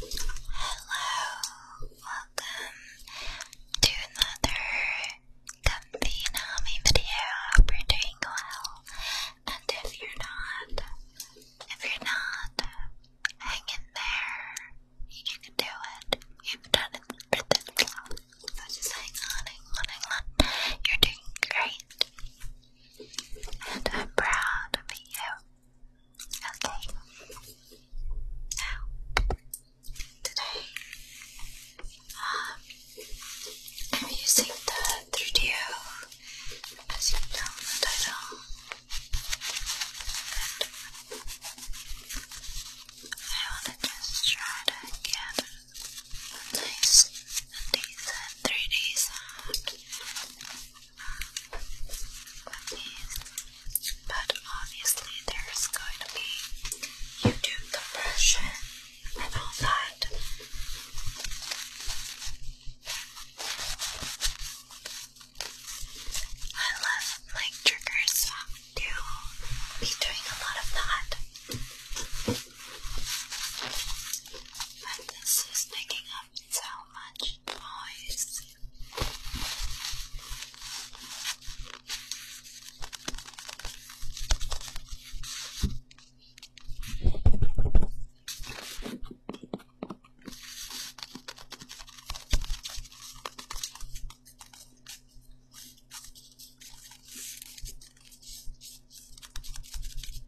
Hello, welcome to another comfy Nami video. Hope you're doing well. And if you're not, if you're not, hang in there. You can do it. You've done it for this long. just hang on, hang on, You're doing great. And I'm proud of you. Okay. today, um, I'm using the 3DO, as you know the title, and I wanna just try to get a nice and 3D but obviously there's going to be YouTube conversion and all that. I love like triggers to be doing a lot of that. But this is picking up so much noise.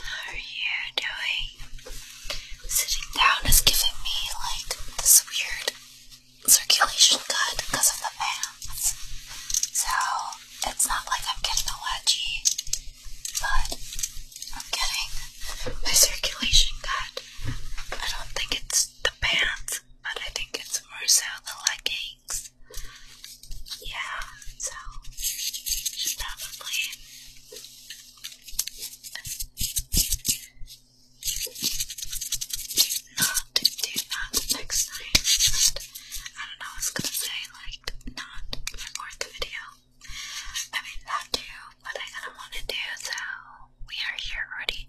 How are you doing? Sitting down is giving me like this weird circulation good because of the pants, so it's not like I'm getting a but I'm getting my circulation cut. I don't think it's the pants, but I think it's more so the leggings. Yeah, so probably not do that next time. I don't know, I was gonna say, like, not record the video. I mean, that too, but I kinda wanna do, so we are here already.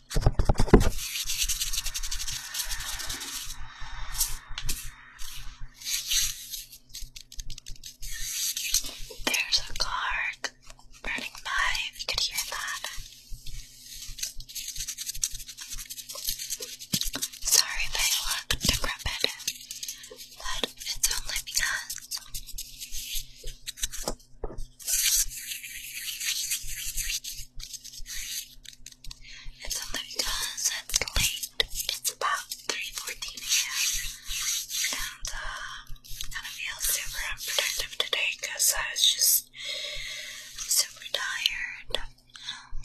There's a car burning by, you could hear that. Sorry if I look decrepit, but it's only because it's only because it's late. It's about 3.14 a.m. And um, and I feel super unproductive today because I was just super tired. Um,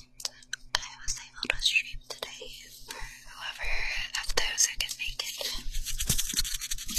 I was able to stream today whoever of those who can make it.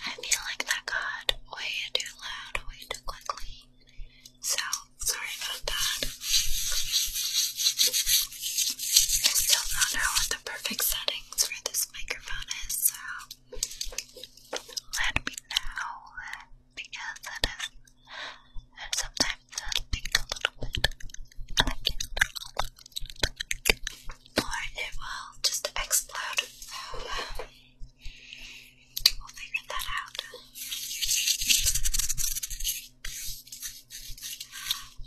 I feel like that got way too loud, way too quickly. So, sorry about that. I still don't know what the perfect settings for this microphone is, so let me know because that is sometimes I think a little bit or it will just explode. We'll figure that out.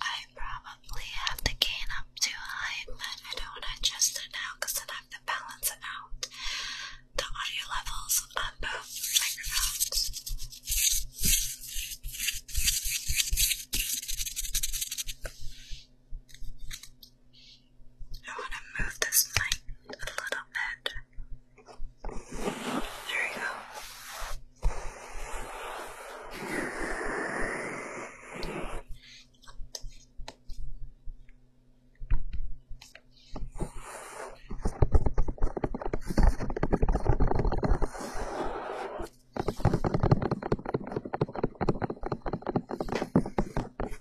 I probably have the gain up too high, but I don't want to adjust it now because then I have to balance it out. The audio levels on both microphones. I want to move this mic a little bit. There we go.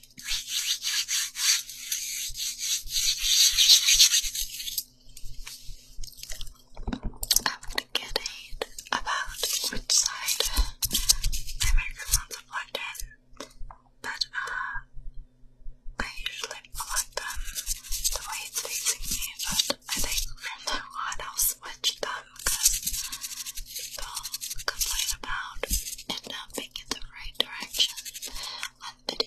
I'm going get aid about which side my microphones are plugged in, but uh, I usually plug them the way it's facing me, but I think from now on I'll switch them because people complain about it not making the right right direction on video.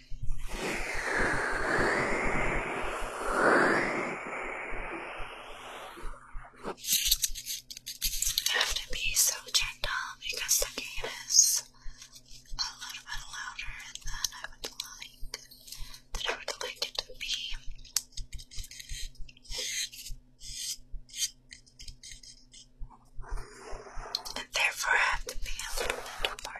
You have to be so gentle because the game is a little bit louder than I would like that I would like it to be. And therefore I have to be a little bit more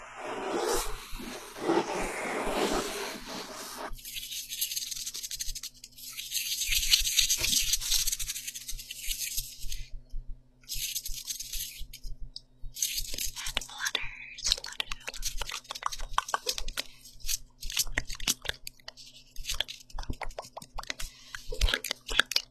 And flutters, flutters.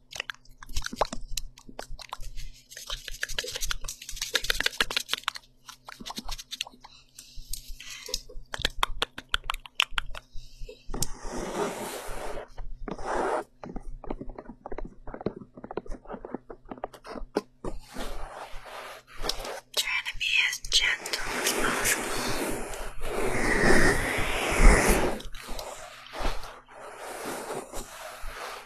Trying to be as gentle as possible.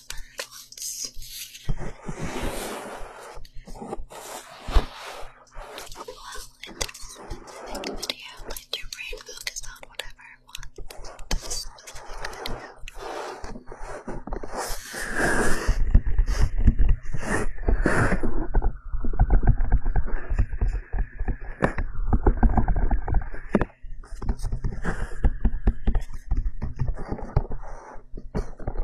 deferred ones. Well, it doesn't specific video, let your brain focus on whatever it wants. This specific video. Thank you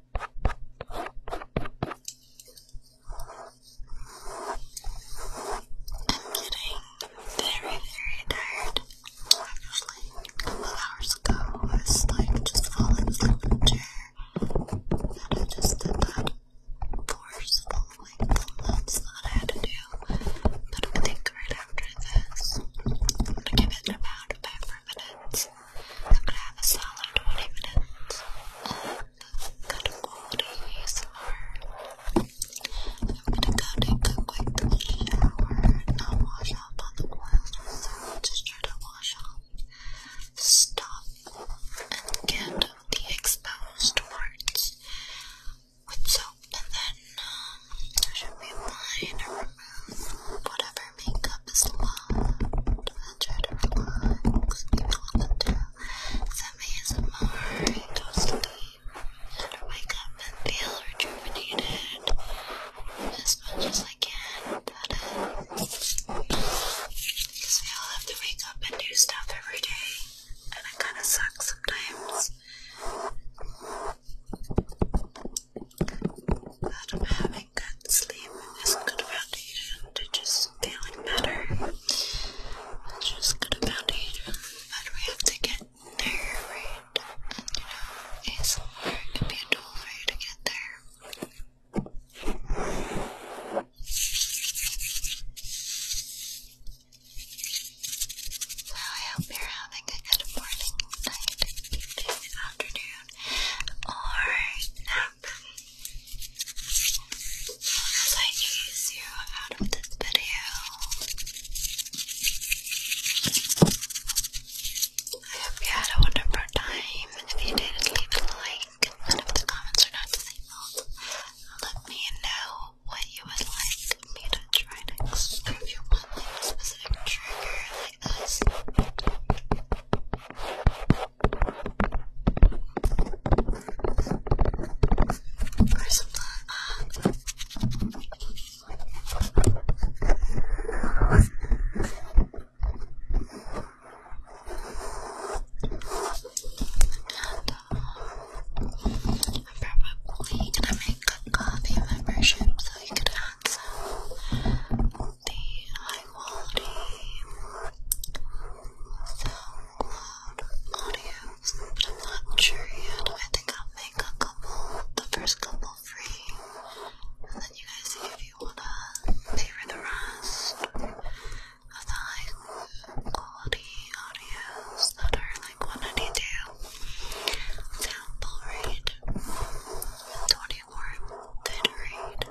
I'm getting very, very tired. Actually, a couple of hours ago, I was like just falling from the chair, and I just did that forceful like movements that I had to do. But I think right after this, I'm gonna give it about five minutes. I'm gonna have a solid 20 minutes of good quality ASMR. I'm gonna go take a quick shower, not wash up on the oil, so just try to wash off. Stop and get the exposed parts with soap, and then um, should be fine to remove whatever your makeup is love, and try to relax. If you want to, send me some more. Go sleep, and wake up and feel rejuvenated as much as I can. because we all have to wake up and do stuff every day, and it kind of sucks sometimes. But I'm having good sleep and this good foundation to just feeling better. It's just good foundation, but we have to get there, right? you know, ASMR can be a tool for to get there. So I hope you're having a good morning, night, afternoon, or nap. As I ease you out of this video, I hope you had a wonderful time. If you did, leave a like, if the comments are not disabled, let me know what you would like me to try next. if you want a specific trigger I'm probably gonna make good coffee memberships I could answer the high quality SoundCloud audios, but I'm not sure yet. I think I'll make a couple, the first couple free, and then you guys see if you wanna pay for the rest of the high quality audios that are like 192 sample rate and pretty warm, good read.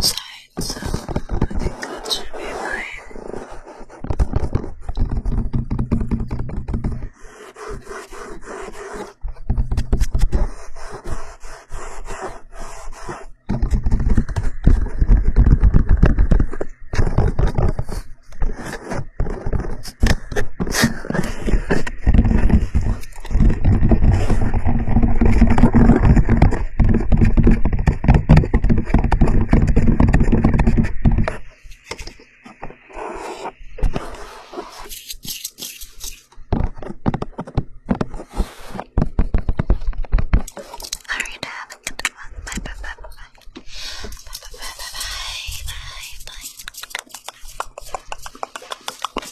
side, so I think that should be fine. Alright, have a good one. Bye bye bye bye. Bye bye bye bye bye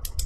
bye bye.